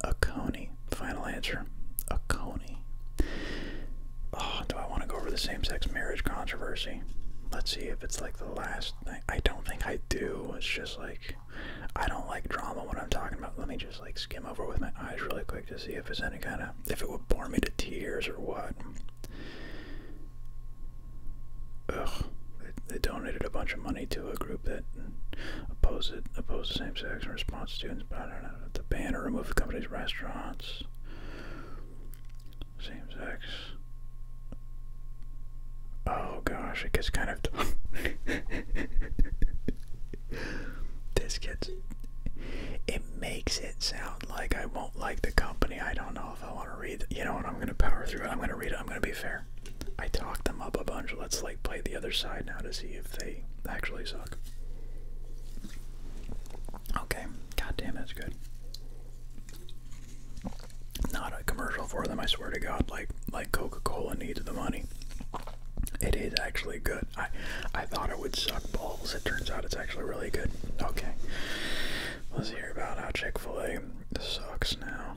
Oconee. Final answer Oconee. Oh, do I want to go over the same sex marriage controversy? Let's see if it's like the last thing. I don't think I do. It's just like, I don't like drama when I'm talking about. Let me just like skim over with my eyes really quick to see if it's any kind of, if it would bore me to tears or what ugh, they, donated a bunch of money to a group that opposed it, opposed same-sex response students, but I don't know, to ban or remove the company's restaurants, same-sex. Oh gosh, it gets kind of. (laughs) this gets. It makes it sound like I won't like the company. I don't know if I want to read. You know what? I'm gonna power through it. I'm gonna read it. I'm gonna be fair. I talked them up a bunch. Let's like play the other side now to see if they actually suck. Okay. God damn, that's good. Not a commercial for them, I swear to God. Like like Coca-Cola needs the money. It is actually good. I I thought it would suck balls. It turns out it's actually really good. Okay. Let's hear about how Chick fil A sucks now.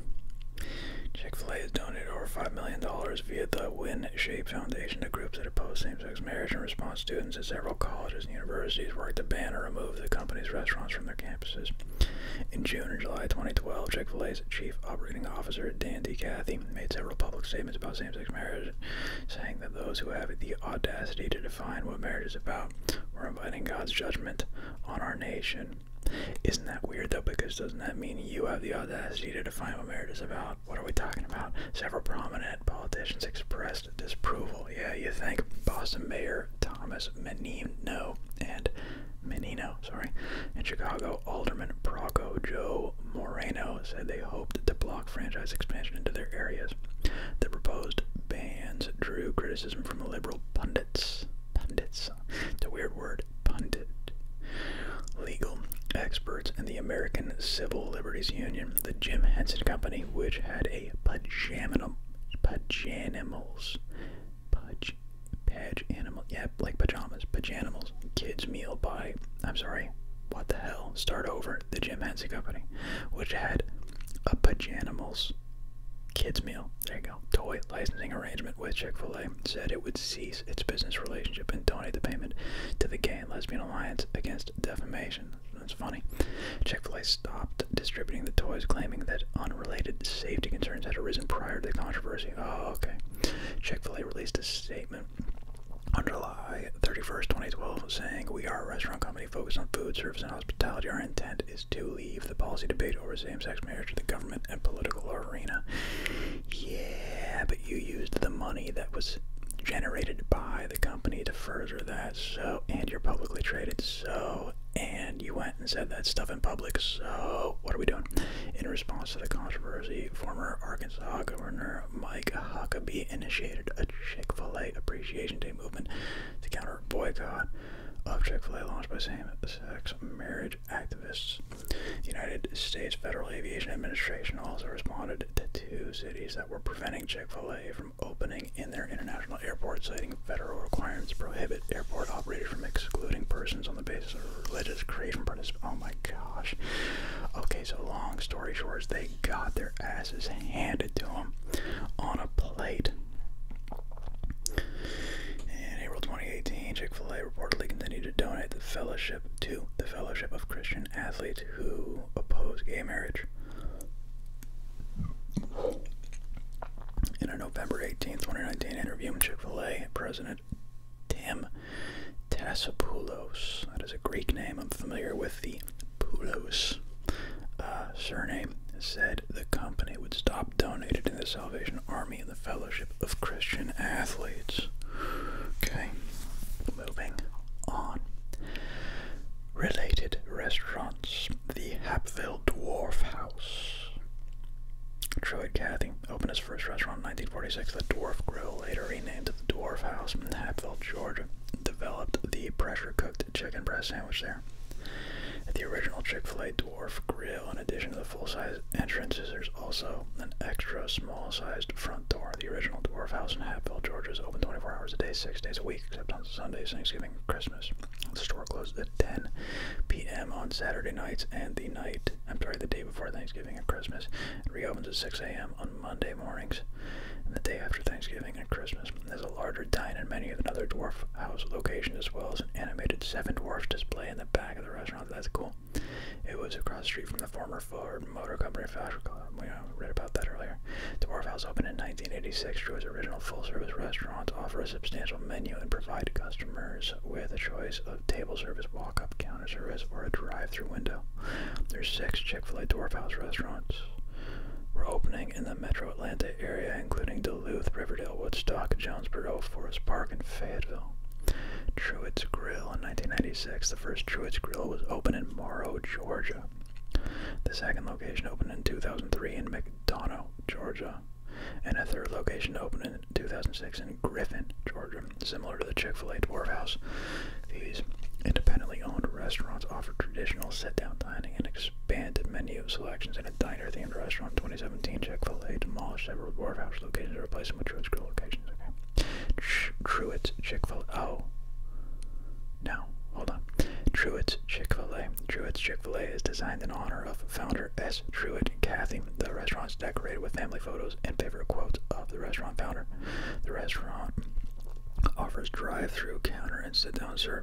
Chick fil A has donated over $5 million via the Win Shape Foundation to groups that oppose same sex marriage and respond students at several colleges and universities worked to ban or remove the company's restaurants from their campuses. In June and July 2012, Chick fil A's chief operating officer, Dan DeCathy, made several public statements about same sex marriage, saying that those who have the audacity to define what marriage is about are inviting God's judgment on our nation. Isn't that weird though? Because doesn't that mean you have the audacity to define what merit is about? What are we talking about? Several prominent politicians expressed disapproval. Yeah, you think Boston Mayor Thomas Menino and Menino, sorry, and Chicago Alderman Proco Joe Moreno said they hoped to block franchise expansion into their areas. The proposed bans drew criticism from liberal pundits pundits. the weird word, pundit. Legal experts and the American Civil Liberties Union, the Jim Henson Company, which had a pajaminum, pajanimals, paj, paj animal, yeah, like pajamas, pajanimals, kids meal by, I'm sorry, what the hell, start over, the Jim Henson Company, which had a pajanimals Kids Meal. There you go. Toy licensing arrangement with Chick fil A said it would cease its business relationship and donate the payment to the Gay Lesbian Alliance Against Defamation. That's funny. Chick fil A stopped distributing the toys, claiming that unrelated safety concerns had arisen prior to the controversy. Oh, okay. Chick fil A released a statement on July 31st, 2012, saying, We are a restaurant company focused on food service and our intent is to leave the policy debate over same sex marriage to the government and political arena. Yeah, but you used the money that was generated by the company to further that, so, and you're publicly traded, so, and you went and said that stuff in public, so, what are we doing? In response to the controversy, former Arkansas Governor Mike Huckabee initiated a Chick fil A appreciation day movement to counter boycott of Chick-fil-A launched by same-sex marriage activists. The United States Federal Aviation Administration also responded to two cities that were preventing Chick-fil-A from opening in their international airports, citing federal requirements prohibit airport operators from excluding persons on the basis of religious creed from participation. Oh my gosh. Okay, so long story short, they got their asses handed to them on a plate. In April 2018, Chick fil A reportedly continued to donate the fellowship to the Fellowship of Christian Athletes who oppose gay marriage.
In a November eighteenth, 2019 interview with Chick fil A, President Tim Tassopoulos, that is a Greek name I'm familiar with, the Poulos, uh, surname, said the company would stop
donating to the Salvation Army and the Fellowship of Christian Athletes. Okay, moving on. Related restaurants The Hapville Dwarf House. Troy Cathy opened his first restaurant in 1946, the Dwarf Grill, later renamed the Dwarf House in Hapville, Georgia. Developed the pressure cooked chicken breast sandwich there. At the original Chick-fil-A Dwarf Grill, in addition to the full-size entrances, there's also an extra small-sized front door. The original Dwarf House in Hatfield, Georgia is open 24 hours a day, 6 days a week, except on Sundays, Thanksgiving, and Christmas. The store closes at 10 p.m. on Saturday nights and the night, I'm sorry, the day before Thanksgiving and Christmas, and reopens at 6 a.m. on Monday mornings and the day after Thanksgiving and Christmas. There's a larger dine-in menu than other Dwarf House locations as well animated Seven Dwarfs display in the back of the restaurant. That's cool. It was across the street from the former Ford Motor Company Fashion Club. We uh, read about that earlier. Dwarf House opened in 1986 through original full-service restaurant, offered a substantial menu, and provided customers with a choice of table service, walk-up counter service, or a drive-through window. There's six Chick-fil-A Dwarf House restaurants. We're opening in the Metro Atlanta area, including Duluth, Riverdale, Woodstock, Jonesboro, Forest Park, and Fayetteville. Truitt's Grill in 1996. The first Truitt's Grill was open in Morrow, Georgia. The second location opened in 2003 in McDonough, Georgia. And a third location opened in 2006 in Griffin, Georgia, similar to the Chick fil A Dwarf House. These independently owned restaurants offer traditional sit down dining and expanded menu selections in a diner themed restaurant 2017, Chick-fil-A demolished several warehouse locations to replace them with Truitt's locations. Okay. Tr Chick-fil-A. Oh. No. Hold on. Truett's Chick-fil-A. Truett's Chick-fil-A is designed in honor of founder S. Truitt Cathy. The restaurant is decorated with family photos and favorite quotes of the restaurant founder. The restaurant offers drive-through counter and sit-down service.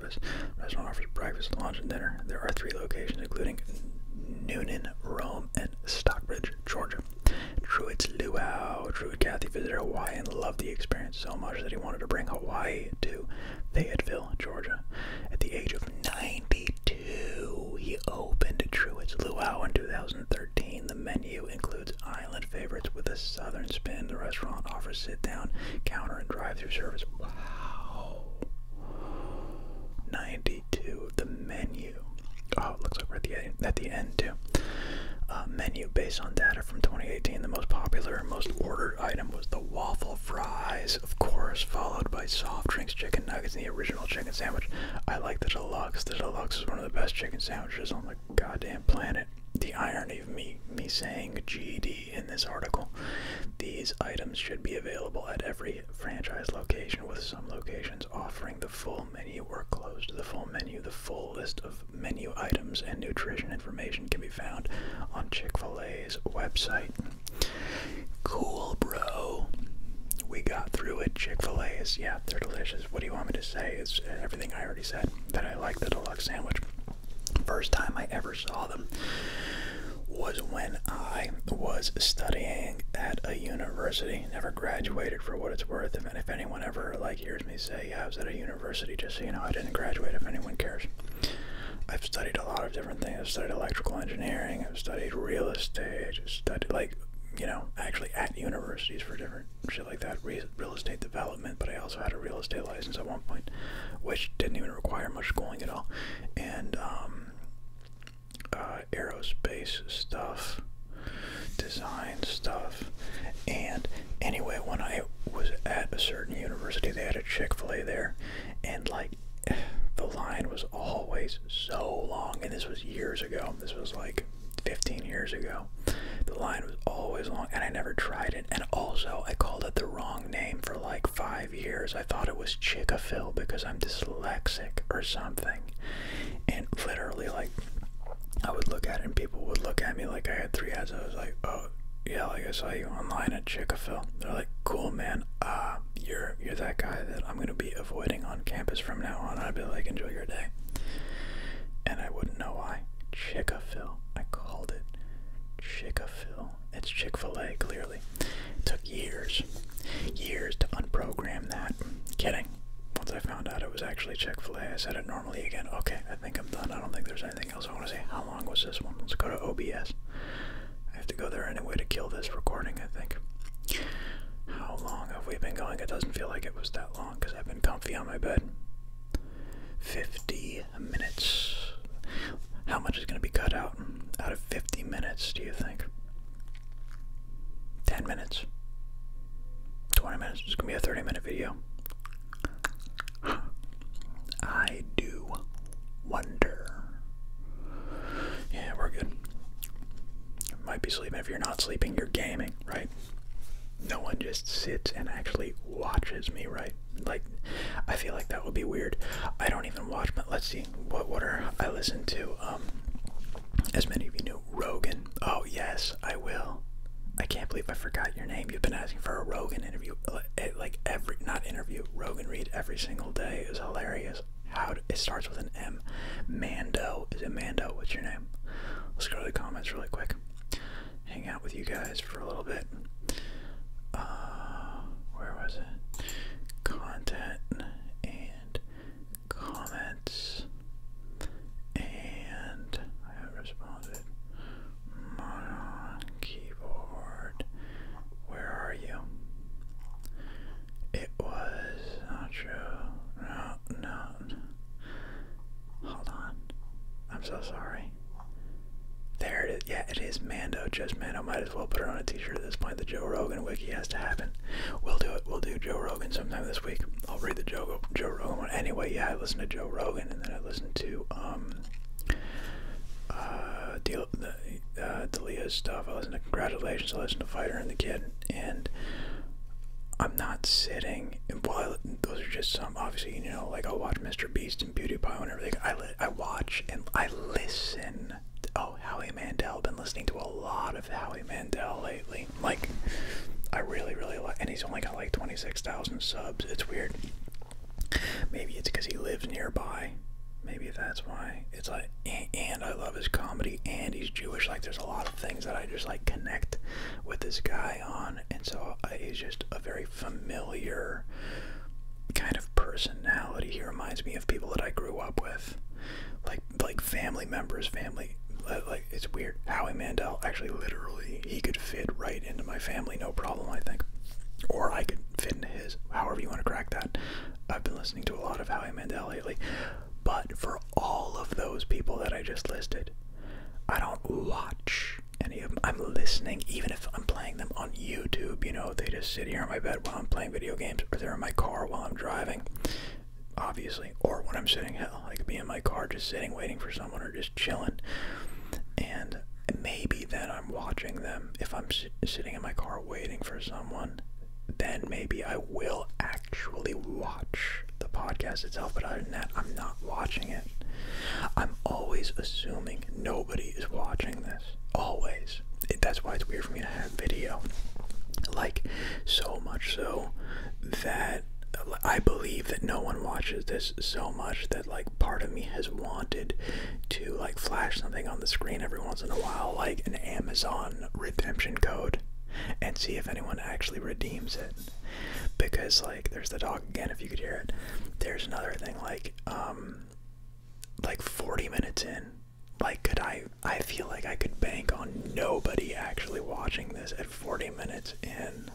Restaurant offers breakfast, lunch, and dinner. There are three locations, including Noonan, Rome, and Stockbridge, Georgia. Druids Luau, Druid Kathy visited Hawaii and loved the experience so much that he wanted to bring Hawaii to Fayetteville, Georgia. At the age of 92, he opened Druids Luau in 2013. The menu includes island favorites with a southern spin. The restaurant offers sit-down, counter, and drive-through service. Wow. 92. The menu. Oh, it looks like we're at the, at the end too. Uh, menu based on data from 2018. The most popular and most ordered item was the waffle fries, of course, followed by soft drinks, chicken nuggets, and the original chicken sandwich. I like the deluxe. The deluxe is one of the best chicken sandwiches on the goddamn planet. The irony of me me saying GD in this article. These items should be available at every franchise location, with some locations offering the full menu or close to the full menu. The full list of menu items and nutrition information can be found on Chick fil A's website. Cool, bro. We got through it. Chick fil A's, yeah, they're delicious. What do you want me to say? It's everything I already said that I like the deluxe sandwich. First time I ever saw was when I was studying at a university. Never graduated for what it's worth. And if anyone ever like hears me say yeah, I was at a university, just so you know, I didn't graduate. If anyone cares, I've studied a lot of different things. I've studied electrical engineering. I've studied real estate. I've studied like you know, actually at universities for different shit like that, Re real estate development. But I also had a real estate license at one point, which didn't even require much schooling at all and um, uh, aerospace stuff, design stuff. And anyway, when I was at a certain university, they had a Chick fil A there, and like (sighs) the line was always so long. And this was years ago, this was like 15 years ago. The line was always long, and I never tried it. And also, I called it the wrong name for like five years. I thought it was Chick-fil because I'm dyslexic or something. And literally, like, I would look at it and people would look at me like I had three
heads. I was like, oh, yeah, like I saw you online at Chick-fil. They're like, cool, man. Uh, you're, you're that guy that I'm going to be avoiding
on campus from now on. I'd be like, enjoy your day. And I wouldn't know why. Chick-fil. I called it. Chick-fil it's Chick fil A, clearly. took years, years to unprogram that. Kidding. Once I found out it was actually Chick fil A, I said it normally again. Okay, I think I'm done. I don't think there's anything else I want to say. How long was this one? Let's go to OBS. I have to go there anyway to kill this recording, I think.
How long have we been going? It doesn't feel like it was that long because I've been comfy on
my bed. 50 minutes. How much is going to be cut out? out of 50 minutes, do you think? 10 minutes? 20 minutes? It's going to be a 30 minute video. I do wonder. Yeah, we're good. Might be sleeping. If you're not sleeping, you're gaming, right? No one just sits and actually watches me, right? like I feel like that would be weird. I don't even watch, but let's see what order I listen to. Um, as many of you know, Rogan. Oh yes, I will. I can't believe I forgot your name. You've been asking for a Rogan interview, uh, eh, like every not interview Rogan read every single day. is hilarious. How it starts with an M. Mando is it Mando? What's your name? Let's go to the comments really quick. Hang out with you guys for a little bit uh, where was it? Content and comments, and I have responded. My keyboard, where are you? It was not true. No, no. Hold on. I'm so sorry. There it is. Yeah, it is Mando. Just Mando. Might as well put it on a T-shirt at this point. The Joe Rogan wiki has to happen. We'll do it. We'll do Joe Rogan sometime this week. I'll read the Joe Joe Rogan one. Anyway, yeah, I listened to Joe Rogan, and then I listened to um uh deal the uh, Delia's stuff. I listened to Congratulations. I listened to Fighter and the Kid, and I'm not sitting. And while those are just some, obviously, you know, like I'll watch Mr. Beast and Beauty Pie and everything. I I watch and I listen oh Howie Mandel. Been listening to a lot of Howie Mandel lately. Like I really really like, and he's only got like twenty six thousand subs. It's weird. Maybe it's because he lives nearby. Maybe that's why. It's like, and I love his comedy, and he's Jewish. Like, there's a lot of things that I just like connect with this guy on, and so uh, he's just a very familiar kind of personality. He reminds me of people that I grew up with, like like family members, family. Uh, like it's weird. Howie Mandel actually, literally, he could fit right into my family, no problem. I think, or I could fit into his. However you want to crack that. I've been listening to a lot of Howie Mandel lately, but for all of those people that I just listed, I don't watch any of them. I'm listening, even if I'm playing them on YouTube. You know, they just sit here on my bed while I'm playing video games, or they're in my car while I'm driving, obviously, or when I'm sitting hell. I could be in my car just sitting, waiting for someone, or just chilling. And maybe then I'm watching them. If I'm sitting in my car waiting for someone, then maybe I will actually watch the podcast itself. But other than that, I'm not watching it. I'm always assuming no nobody is watching this. Always. that's why it's weird for me to have video. Like, so much so that I believe that no one watches this so much that, like, part of me has wanted to, like, flash something on the screen every once in a while, like an Amazon redemption code, and see if anyone actually redeems it. Because, like, there's the dog again, if you could hear it. There's another thing, like, um, like 40 minutes in, like could I I feel like I could bank on nobody actually watching this at 40 minutes in.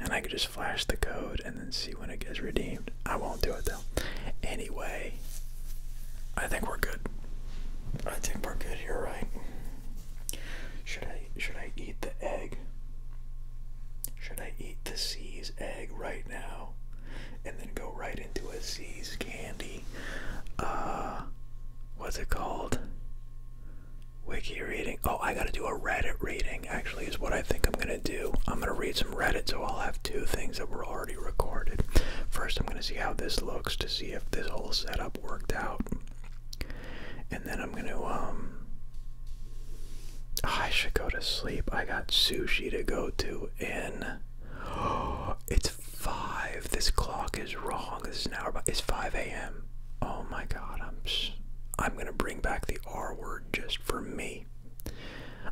And I could just flash the code and then see when it gets redeemed. I won't do it though. Anyway, I think we're good. I think we're good You're right? Should I should I eat the egg? Should I eat the C's egg right now? and then go right into a C's candy. Uh, what's it called? Wiki reading. Oh, I gotta do a Reddit reading, actually, is what I think I'm gonna do. I'm gonna read some Reddit, so I'll have two things that were already recorded. First, I'm gonna see how this looks to see if this whole setup worked out. And then I'm gonna, um, I should go to sleep. I got sushi to go to, and 10. (gasps) it's 5. This clock is wrong. This is an hour. It's 5 a.m. Oh my god. I'm, I'm going to bring back the R word just for me.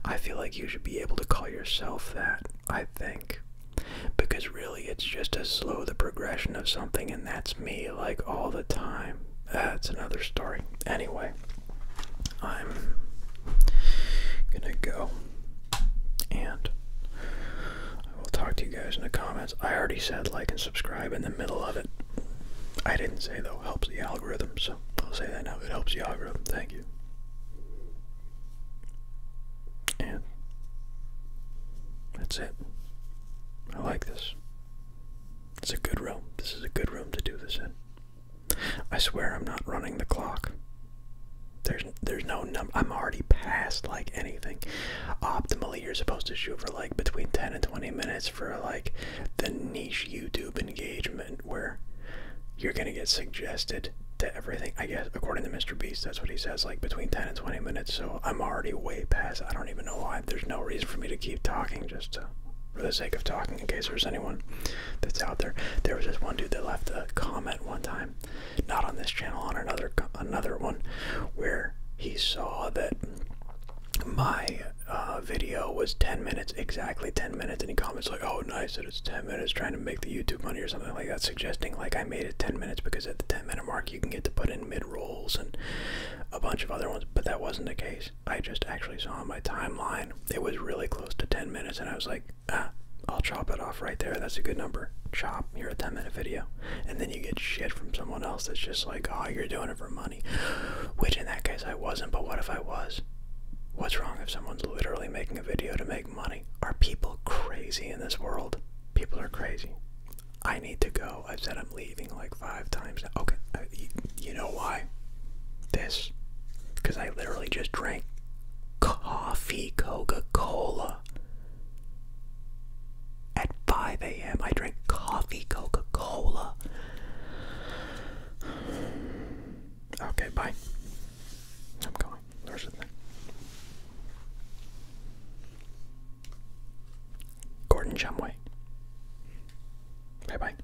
I feel like you should be able to call yourself that, I think. Because really, it's just to slow the progression of something, and that's me, like, all the time. That's another story. Anyway. I'm gonna go and I will talk to you guys in the comments. I already said like and subscribe in the middle of it. I didn't say though, helps the algorithm, so I'll say that now. It helps the algorithm. Thank you. And that's it. I like this. It's a good room. This is a good room to do this in. I swear I'm not running the clock. There's there's no num I'm already past like anything. Optimally, you're supposed to shoot for like between 10 and 20 minutes for like the niche YouTube engagement where you're gonna get suggested to everything. I guess according to Mr. Beast, that's what he says. Like between 10 and 20 minutes. So I'm already way past. I don't even know why. There's no reason for me to keep talking just to for the sake of talking, in case there's anyone that's out there. There was this one dude that left a comment one time, not on this channel, on another another one, where he saw that my uh, video was 10 minutes exactly 10 minutes and he comments like oh nice that it's 10 minutes trying to make the youtube money or something like that suggesting like i made it 10 minutes because at the 10 minute mark you can get to put in mid rolls and a bunch of other ones but that wasn't the case i just actually saw on my timeline it was really close to 10 minutes and i was like ah i'll chop it off right there that's a good number chop you're a 10 minute video and then you get shit from someone else that's just like oh you're doing it for money which in that case i wasn't but what if i was what's wrong if someone's literally making a video to make money are people crazy in this world people are crazy i need to go i've said i'm leaving like five times now okay you know why this because I literally just drank coffee, Coca Cola. At 5 a.m., I drank coffee, Coca Cola. Okay, bye. I'm going. There's the thing. Gordon Chumway. Bye bye.